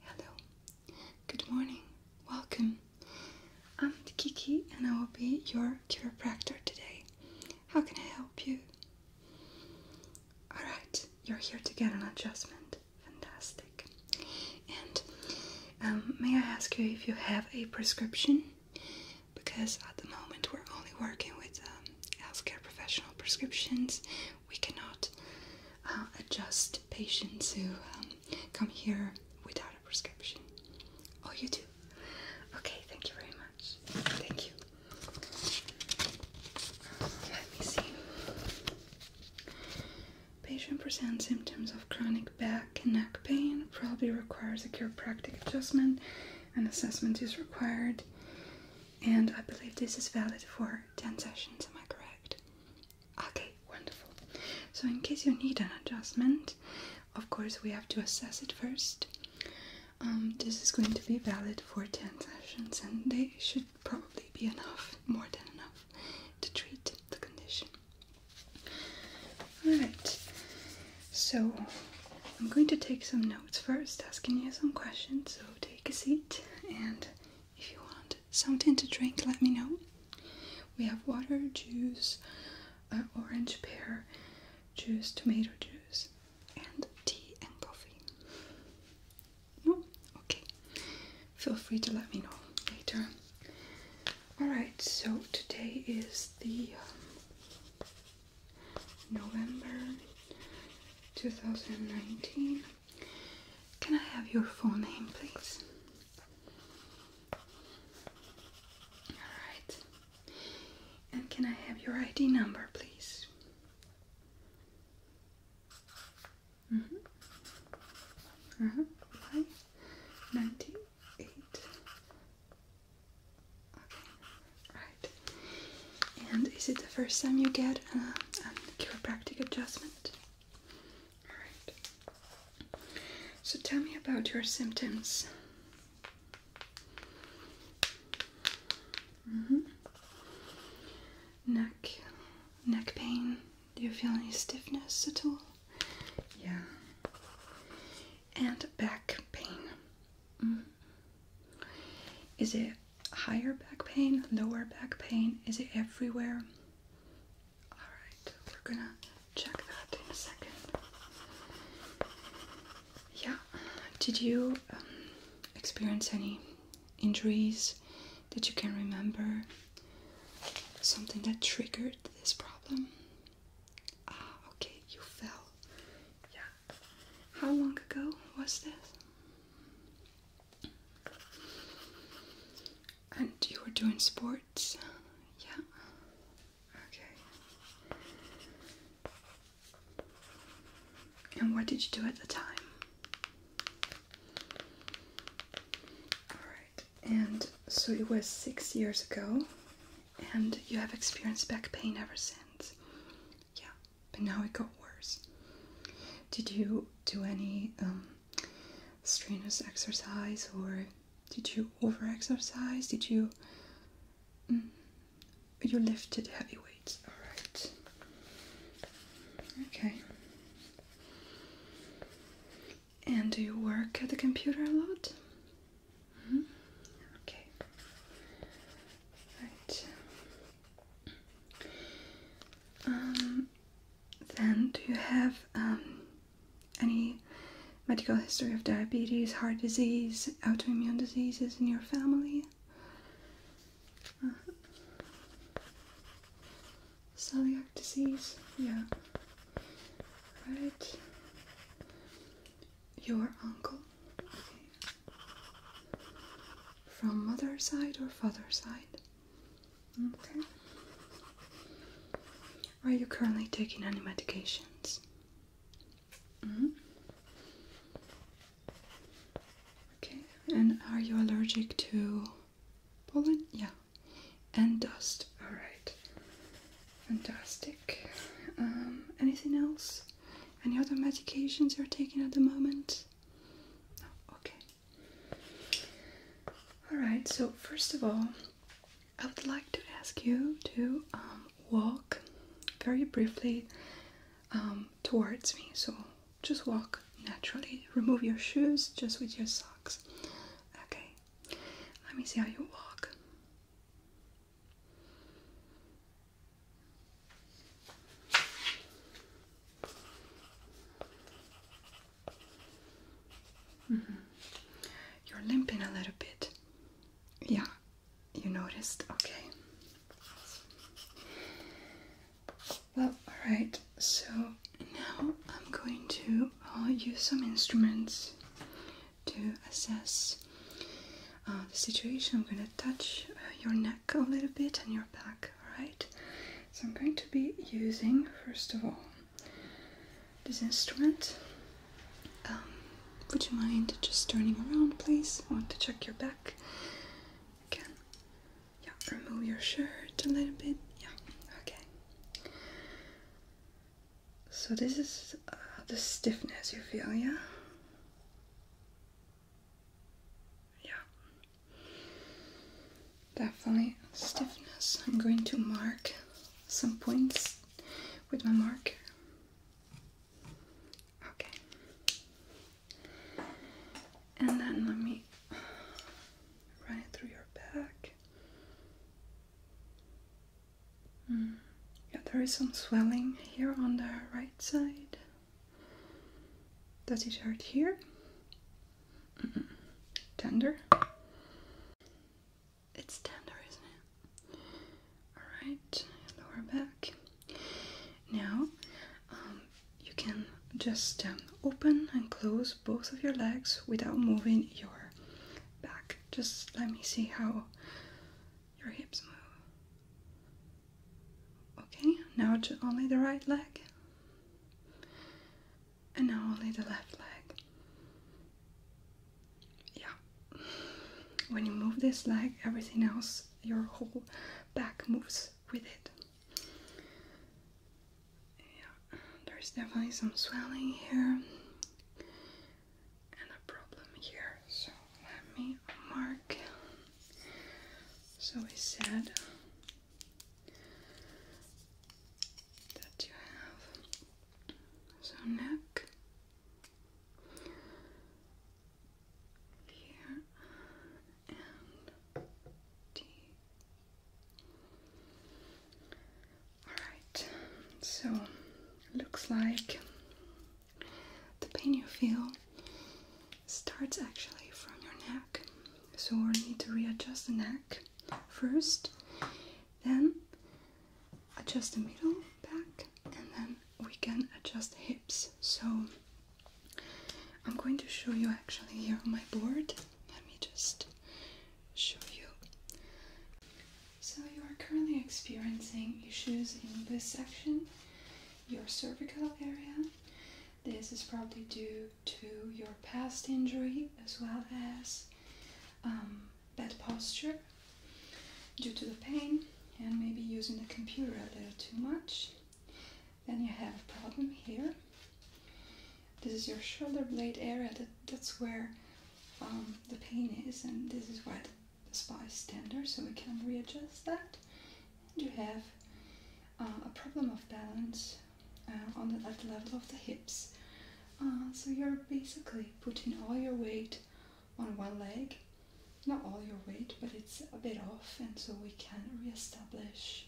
Hello, good morning, welcome. I'm Kiki and I will be your chiropractor today. How can I help you? Alright, you're here to get an adjustment. Fantastic. And um, may I ask you if you have a prescription? Because at the moment we're only working with um, healthcare professional prescriptions we cannot uh, adjust patients who um, come here without a prescription. Oh, you do? Okay, thank you very much. Thank you. Let me see. Patient presents symptoms of chronic back and neck pain, probably requires a chiropractic adjustment. An assessment is required, and I believe this is valid for 10 sessions, am I correct? Okay, wonderful. So, in case you need an adjustment, of course, we have to assess it first. Um, this is going to be valid for 10 sessions, and they should probably be enough, more than enough, to treat the condition. Alright, so I'm going to take some notes first, asking you some questions. So, take a seat and if you want something to drink, let me know. We have water, juice, uh, orange pear juice, tomato juice, and tea and coffee. No? Okay. Feel free to let me know later. Alright, so today is the um, November 2019. Can I have your full name, please? Alright. And can I have your ID number, please? Mm-hmm. Uh-huh. Uh-huh. 98. Okay, right. And is it the first time you get uh, a, chiropractic adjustment? Alright. So tell me about your symptoms. Mm -hmm. Neck, neck pain. Do you feel any stiffness at all? Yeah. And back pain. Mm-hmm. Is it higher back pain, lower back pain? Is it everywhere? Alright, we're gonna check that in a second. Yeah, did you um, experience any injuries that you can remember? Something that triggered this problem? Ah, okay, you fell. Yeah, how long ago was this? And you were doing sports? Yeah. Okay. And what did you do at the time? Alright, and so it was six years ago, and you have experienced back pain ever since. Yeah, but now it got worse. Did you do any um, strenuous exercise or did you over exercise? Did you. Mm, you lifted heavy weights, alright. Okay. And do you work at the computer a lot? -hmm. Okay. Right. Um, then, do you have um, any medical history of diabetes, heart disease, autoimmune diseases in your family? Uh-huh. celiac disease? Yeah. Right. Your uncle? From mother side or father side? Okay. Are you currently taking any medications? -hmm. Okay, and are you allergic to pollen? Yeah, and dust. All right, fantastic. Um, anything else? Any other medications you're taking at the moment? Oh, okay all right so first of all i would like to ask you to um, walk very briefly um, towards me so just walk naturally remove your shoes just with your socks okay let me see how you walk Mm -hmm. You're limping a little bit. Yeah, you noticed? Okay. Well, alright, so now I'm going to use some instruments to assess uh, the situation, I'm going to touch uh, your neck a little bit and your back, alright? So I'm going to be using, first of all, this instrument. Um, would you mind just turning around, please? I want to check your back. Again, yeah, remove your shirt a little bit. Yeah, okay. So this is uh, the stiffness you feel, yeah? Yeah. Definitely stiffness. I'm going to mark some points with my marker. Okay. And then let me run it through your back. Hmm. Yeah, there is some swelling here on the right side. Does That is hurt here. Mm-hmm. Tender. It's tender, isn't it? Alright, lower back. Now um, you can just um, open and close both of your legs without moving your back. Just let me see how your hips move. Okay, now only the right leg. And now only the left leg. Yeah. When you move this leg, everything else, your whole back moves with it. Yeah, there's definitely some swelling here and a problem here. So let me mark. So we said that you have so neck here Alright, so looks like the pain you feel starts actually from your neck, so we need to readjust the neck first, then adjust the middle back, and then we can adjust the hips. So I'm going to show you actually here on my board. Let me just show you. So you are currently experiencing issues in this section your cervical area. This is probably due to your past injury as well as um, bad posture due to the pain and maybe using the computer a little too much. Then you have a problem here. This is your shoulder blade area, that, that's where um, the pain is, and this is why the spine standard, so we can readjust that. And you have uh, a problem of balance uh, on the, at level of the hips. Uh, so you're basically putting all your weight on one leg, not all your weight, but it's a bit off, and so we can reestablish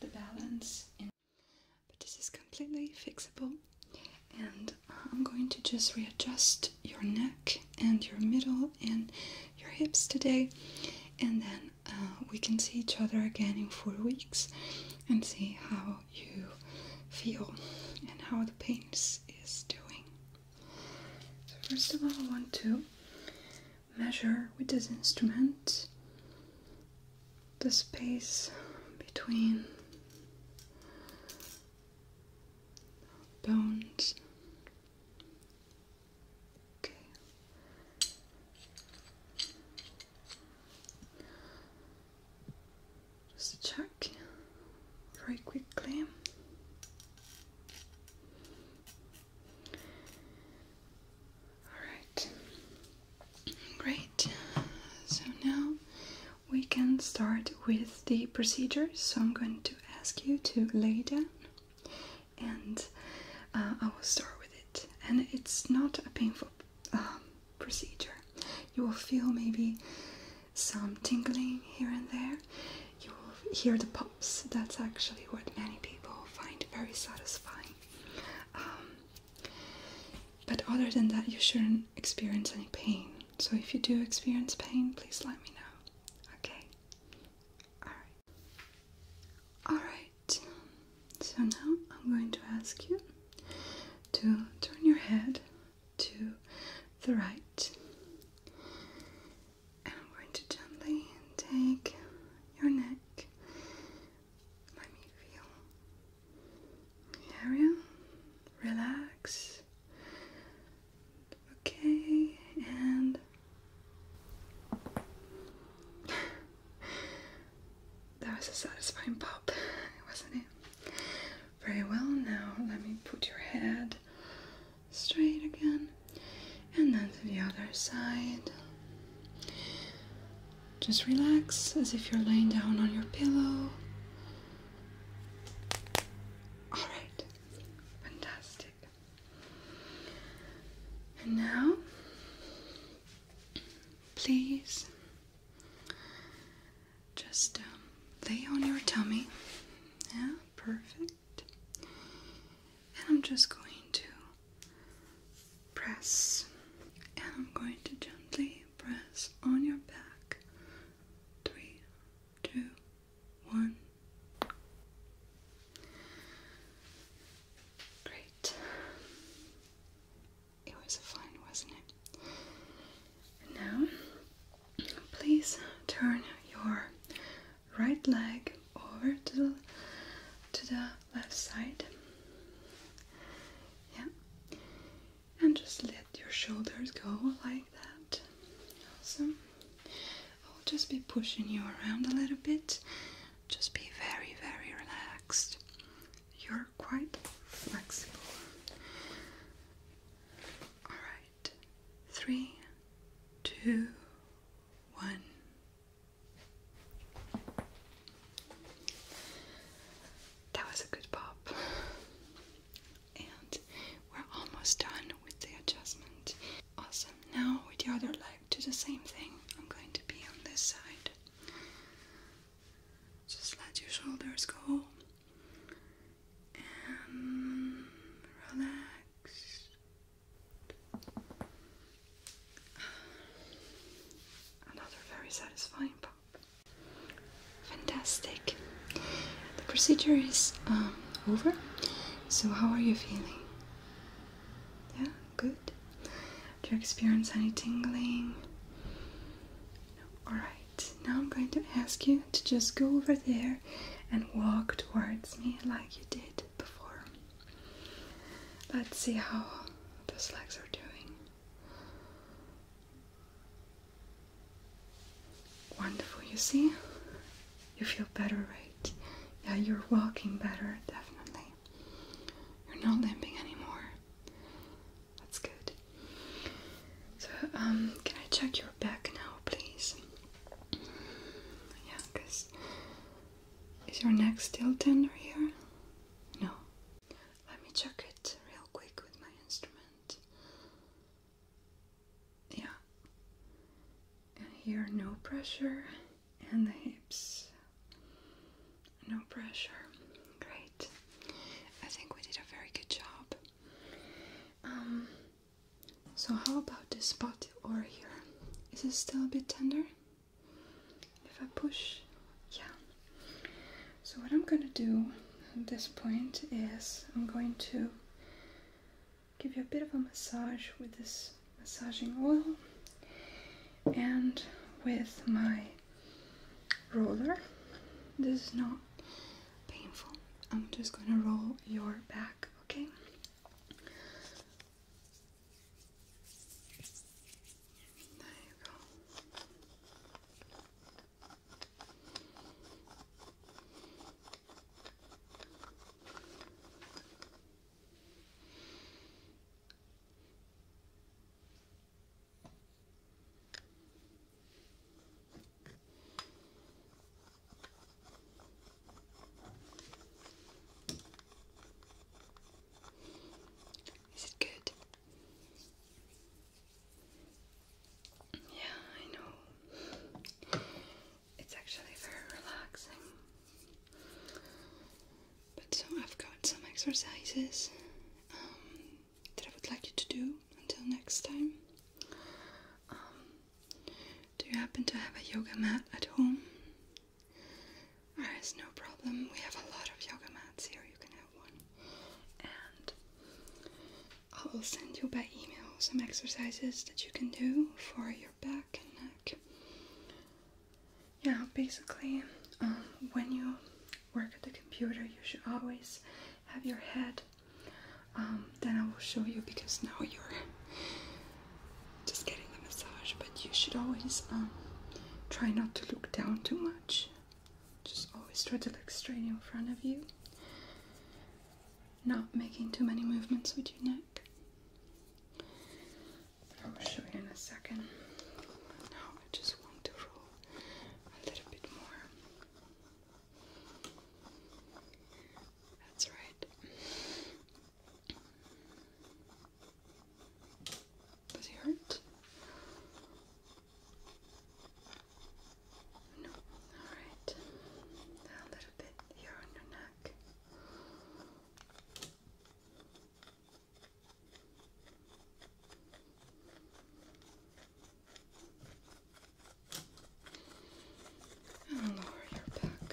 the balance. but this is completely fixable, and I'm going to just readjust your neck and your middle and your hips today, and then uh, we can see each other again in four weeks and see how you feel and how the pains is doing. So, first of all, I want to measure with this instrument the space between bones. Okay. Just check very quickly. Alright. Great. So now we can start with the procedure. So I'm going to ask you to lay down, and uh, I will start with it. And it's not a painful um, procedure. You will feel maybe some tingling here and there. You will hear the pops. That's actually what many people find very satisfying. Um, but other than that, you shouldn't experience any pain. So if you do experience pain, please let me know. Okay. Alright. Alright. So now I'm going to ask you to turn your head to the right. And I'm going to gently take your neck. Let me feel the Relax. Okay, and that was a satisfying pop, wasn't it? Very well, now let me put your head straight again and then to the other side. Just relax as if you're laying down on your pillow. All right. Fantastic. And now, please just um, lay on your tummy. Yeah, perfect. And I'm just going to press, and I'm going to gently press on your back. Three, two, one. Great. It was fun, wasn't it? And now, please turn your right leg over to the, to the left side. Yeah and just let your shoulders go like that. Awesome. I'll just be pushing you around a little bit. Just be very, very relaxed. You're quite flexible. Alright, three, two, one. That was a good pop. And we're almost done with the adjustment. Awesome. Now with the other leg, do the same thing. I'm going to be on this side. Just let your shoulders go and relax. Another very satisfying pump. Fantastic. The procedure is um, over. So, how are you feeling? Yeah, good. Do you experience any tingling? No. Alright, now I'm going to ask you to just go over there and walk towards me like you did before. Let's see how those legs are doing. Wonderful, you see? You feel better, right? Yeah, you're walking better, definitely. You're not limping anymore. That's good. So, um, can I check your back now, please? Yeah, because is your neck still tender here? No. Let me check it real quick with my instrument. Yeah. And here, no pressure. And the hips. No pressure. Great. I think we did a very good job. Um, so, how about this spot over here? Is it still a bit tender? If I push, yeah. So, what I'm gonna do this point is I'm going to give you a bit of a massage with this massaging oil and with my roller. This is not painful. I'm just going to roll your back, okay? There you go. Is it good? Yeah, I know. It's actually very relaxing. But so I've got some exercises um, that I would like you to do until next time. Um, do you happen to have a yoga mat at home? There is no problem. We have a lot of yoga mats here. You can have one. And I will send you by email some exercises that you can do for your back and neck. Yeah, basically, um, when you work at the computer, you should always have your head. Um, then I will show you because now you're just getting the massage, but you should always um, try not to look down too much just always try to look straight in front of you, not making too many movements with your neck. i will show you in a second. now I just want to roll a little bit more. That's right. Does it hurt? No. Alright. A little bit here on your neck. And lower your back.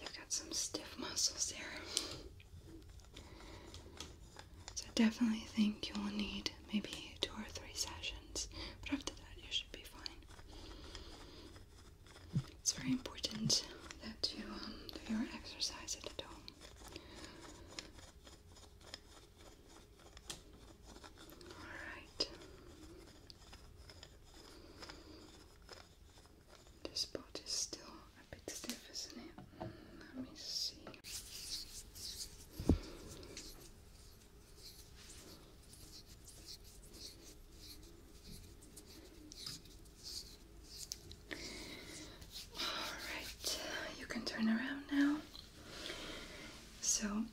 You've got some stiff muscles there. So I definitely think you will need maybe two or three sessions, but after that you should be fine. It's very important that you um, do your exercise at home. All right. This part is still a bit stiff, isn't it? Let me see. All right, you can turn around now. So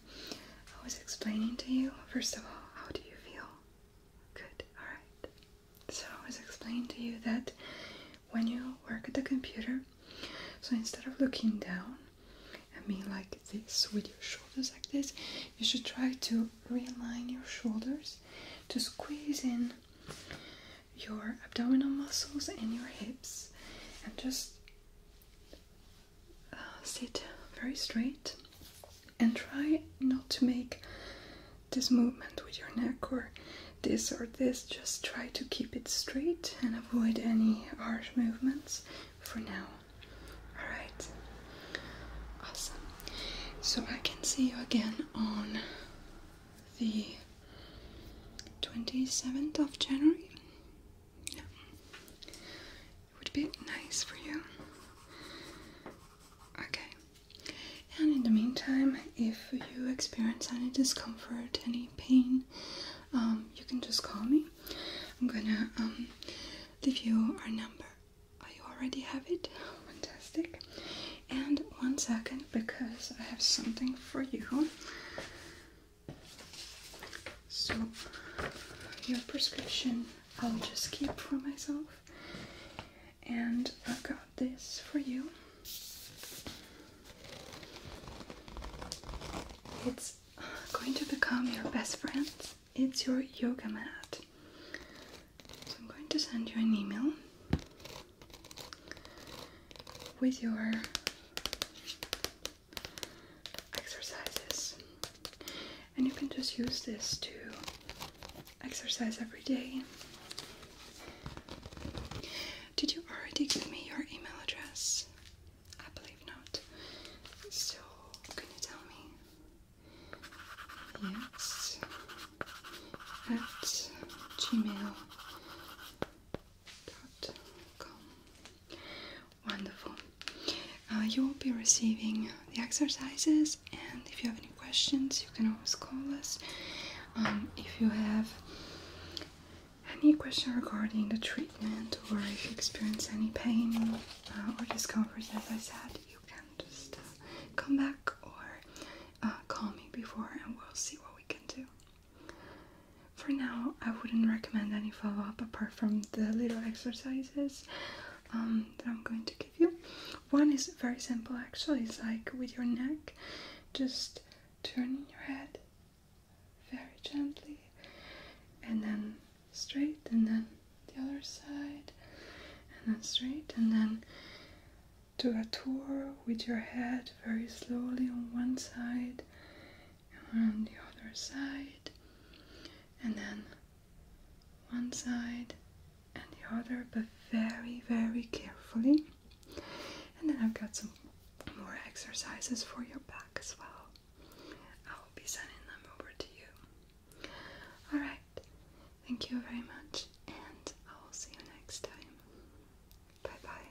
I was explaining to you, first of all, how do you feel? Good, alright. So, I was explaining to you that when you work at the computer, so instead of looking down I mean like this with your shoulders like this, you should try to realign your shoulders to squeeze in your abdominal muscles and your hips and just sit very straight and try not to make this movement with your neck or this or this. Just try to keep it straight and avoid any harsh movements for now. Alright, awesome. So I can see you again on the 27th of January. It would be nice for you. Okay. And in the meantime, if you experience any discomfort, any pain, um, you can just call me. I'm gonna um, leave you our number. Oh, you already have it? Fantastic. And one second, because I have something for you. So, your prescription I'll just keep for myself. And I've got this for you. It's going to become your best friend. It's your yoga mat. So I'm going to send you an email with your exercises. And you can just use this to exercise every day. Did you already give me your email address? I believe not. So, can you tell me? Yes. At gmail.com. Wonderful. Uh, you will be receiving the exercises, and if you have any questions, you can always call us. Um, if you have any question regarding the treatment, or if you experience any pain uh, or discomfort, as I said, you can just uh, come back or call me before, and we'll see what we can do for now, I wouldn't recommend any follow up apart from the little exercises um, that I'm going to give you. One is very simple actually, it's like with your neck, just turning your head very gently and then straight, and then the other side, and then straight, and then do a tour with your head very slowly on one side on the other side, and then one side and the other, but very, very carefully. And then I've got some more exercises for your back as well. I will be sending them over to you. Alright, thank you very much, and I will see you next time. Bye bye.